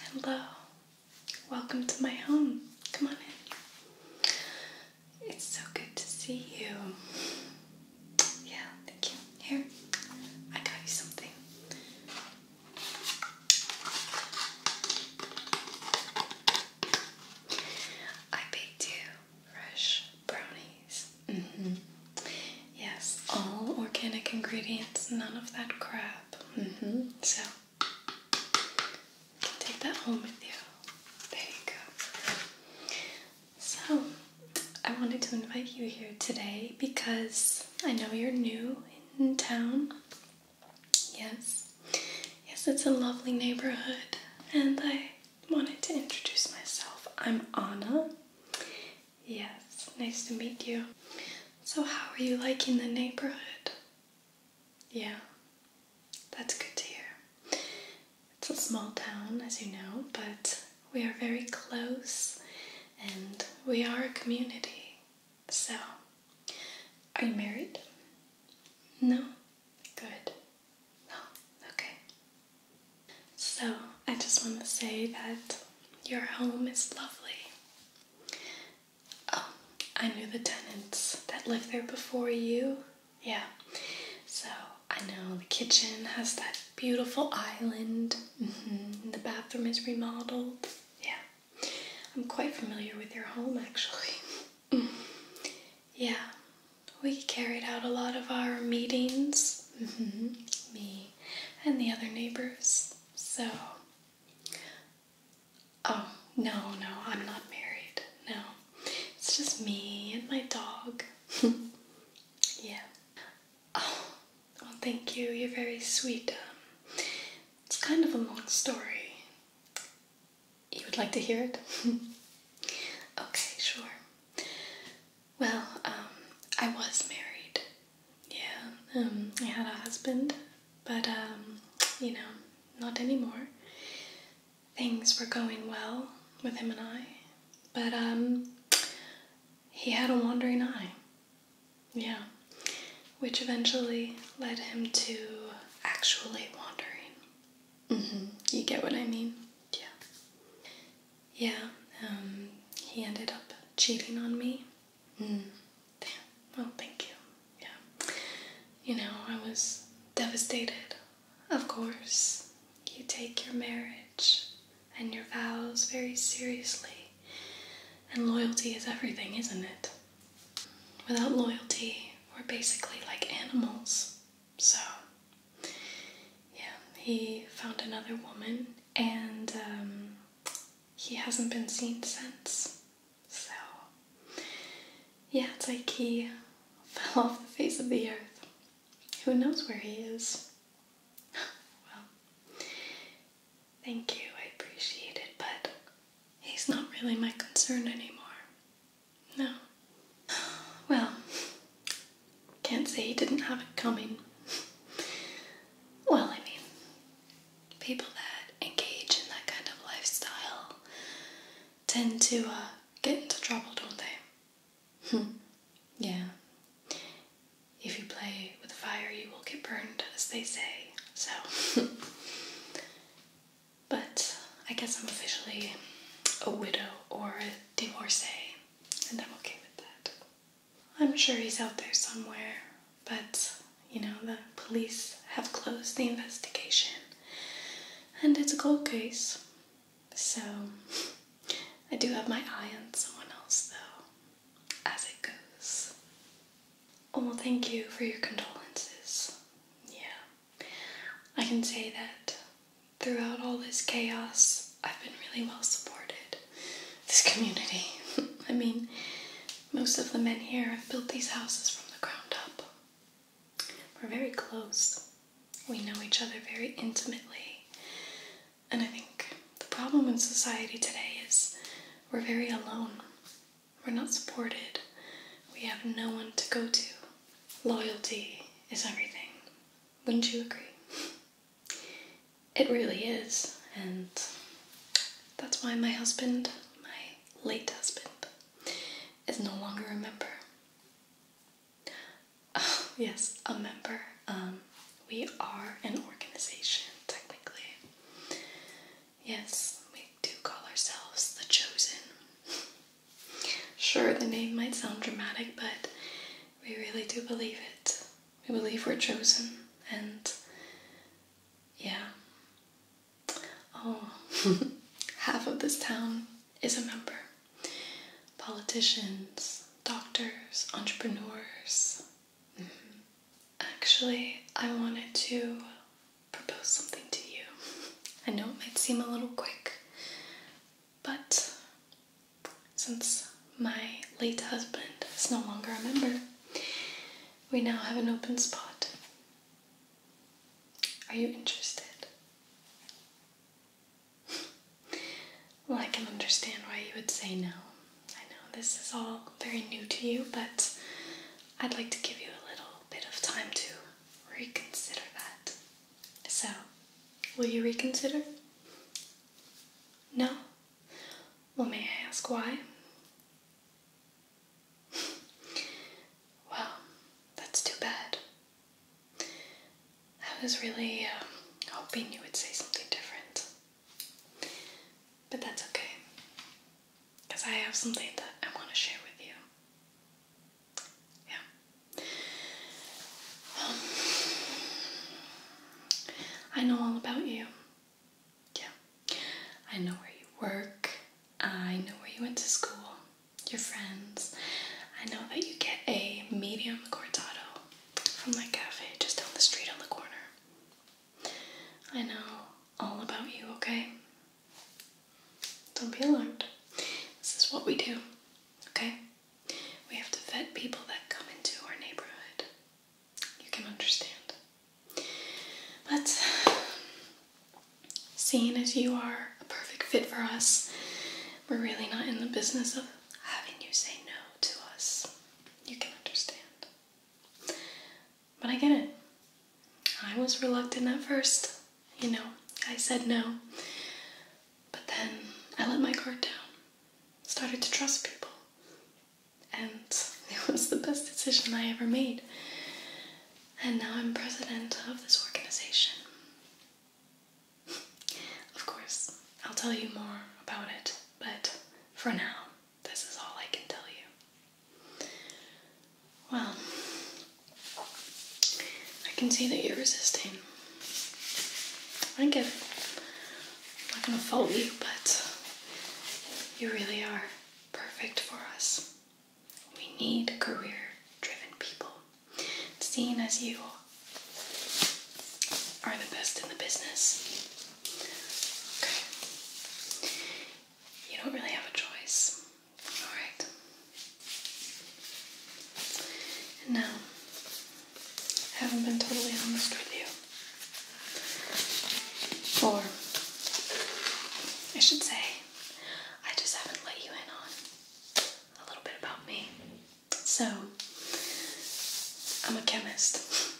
Hello, welcome to my home. Come on in. It's so good to see you. Yeah, thank you. Here, I got you something. I baked you fresh brownies. Mm-hmm. Yes, all organic ingredients, none of that crap. Mm-hmm. So take that home with you. There you go. So I wanted to invite you here today because I know you're new in town. Yes, yes, it's a lovely neighborhood, and I wanted to introduce myself. I'm Anna, Yes, nice to meet you. So, how are you liking the neighborhood? Yeah, that's good to hear. It's a small town, as you know, but we are very close and we are a community. So, are you married? No? Good. Oh, okay. So, I just want to say that your home is lovely. Oh, I knew the tenants that lived there before you. Yeah. So I know the kitchen has that beautiful island. Mm-hmm. The bathroom is remodeled. Yeah. I'm quite familiar with your home actually. yeah. We carried out a lot of our meetings. Mm-hmm. Me and the other neighbors. So Oh, no, no, I'm not married. No. It's just me and my dog. yeah. Oh, well, thank you. You're very sweet. Um, it's kind of a long story. You would like to hear it? okay, sure. Well, um, I was married yeah, um, I had a husband, but um, you know, not anymore. Things were going well with him and I, but um, he had a wandering eye. Yeah, which eventually led him to actually wandering. Mm-hmm. You get what I mean? Yeah. Yeah, he ended up cheating on me Damn. Mm. Oh, thank you. Yeah. You know, I was devastated. Of course, you take your marriage and your vows very seriously. And loyalty is everything, isn't it? Without loyalty, we're basically like animals. So, yeah, he found another woman, and um, he hasn't been seen since. So, yeah, it's like he fell off the face of the earth. Who knows where he is? well, thank you, I appreciate it, but he's not really my concern anymore. No. Well, can't say he didn't have it coming. well, I mean, people that engage in that kind of lifestyle tend to uh, get into trouble, don't they? Hmm. yeah. If you play with fire, you will get burned, as they say. So, but I guess I'm officially a widow or a divorcee, and I'm okay with that. I'm sure he's out there somewhere, but you know, the police have closed the investigation and it's a cold case. So I do have my eye on someone else though, as it goes. Oh, well, thank you for your condolences. Yeah, I can say that throughout all this chaos, I've been really well supported this community. I mean, most of the men here have built these houses from the ground up. We're very close. We know each other very intimately. And I think the problem in society today is we're very alone. We're not supported. We have no one to go to. Loyalty is everything. Wouldn't you agree? It really is, and that's why my husband, my late husband, is no longer a member. yes, a member. Um, we are an organization, technically. Yes, we do call ourselves the Chosen. sure, the name might sound dramatic, but we really do believe it. We believe we're chosen, and yeah. Oh, half of this town is a member. Politicians, doctors, entrepreneurs. Mm-hmm. Actually, I wanted to propose something to you. I know it might seem a little quick, but since my late husband is no longer a member, we now have an open spot. Are you interested? well, I can understand why you would say no. I know this is all very new to you, but I'd like to give you a little bit of time to reconsider that. So, will you reconsider? No? Well, may I ask why? well, that's too bad. I was really uh, hoping you would say something different. But that's okay, because I have something that I want to share with you. Yeah. Um, I know all about you. Yeah, I know where you work, I know where you went to school, your friends. I know that you get a medium cortado from my cafe just down the street on the corner. I know all about you, okay? Don't be alarmed. This is what we do, okay? We have to vet people that come into our neighborhood you can understand. But seeing as you are a perfect fit for us, we're really not in the business of having you say no to us. You can understand. But I get it. I was reluctant at first. You know, I said no. But then I let my guard down, started to trust people, and it was the best decision I ever made. And now I'm president of this organization. of course, I'll tell you more about it, but for now, this is all I can tell you. Well, I can see that you're resisting. I get it. I'm not going to fault you, but you really are perfect for us. We need career driven people. Seeing as you are the best in the business, you don't really have a choice. Alright. now, I haven't been totally honest with you. Four. I should say, I just haven't let you in on a little bit about me. So, I'm a chemist.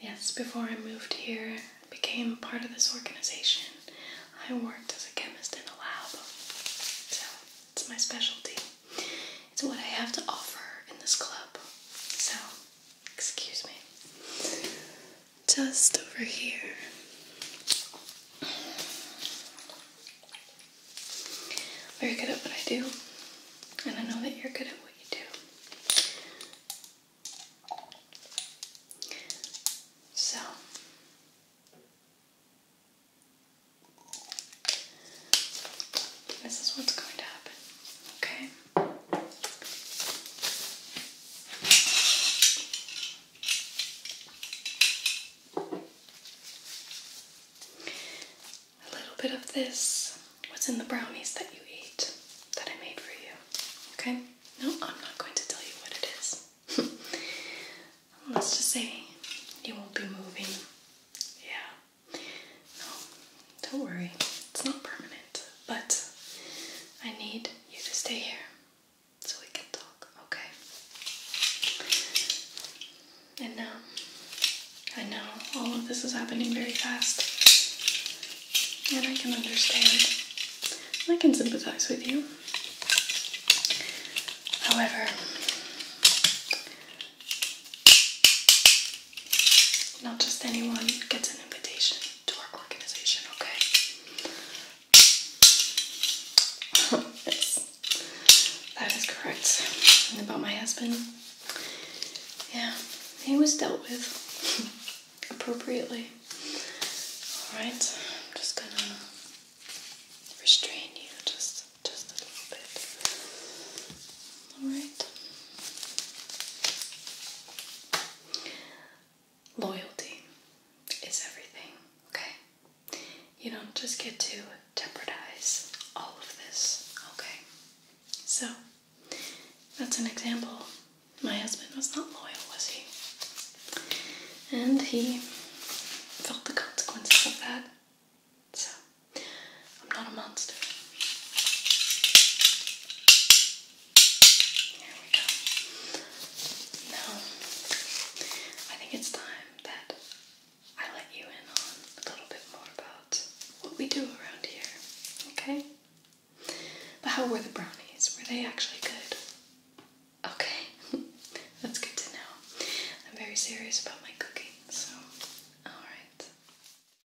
yes, before I moved here, became part of this organization. I worked as a chemist in a lab. So, it's my specialty. It's what I have to offer in this club. So, excuse me, just over here. Very good at what I do, and I know that you're good at what you do. So, this is what's going to happen, okay? A little bit of this was in the brownies that you eat that I made for you. Okay? No, I'm not going to tell you what it is. Let's just say you won't be moving. Yeah. No, don't worry, it's not permanent, but I need you to stay here so we can talk, okay? And now, um, I know all of this is happening very fast, and I can understand. I can sympathize with you. However, not just anyone gets an invitation to our organization, okay? yes, that is correct. about my husband, yeah, he was dealt with appropriately. Alright, I'm just gonna restrain you just just a little bit. Alright. Loyalty is everything, okay? You don't just get to jeopardize all of this, okay? So, that's an example. My husband was not loyal, was he? And he felt the consequences of that. So, I'm not a monster. There we go. Now, I think it's time that I let you in on a little bit more about what we do around here, okay? But how were the brownies? Were they actually good? Okay, that's good to know. I'm very serious about my cooking, so alright.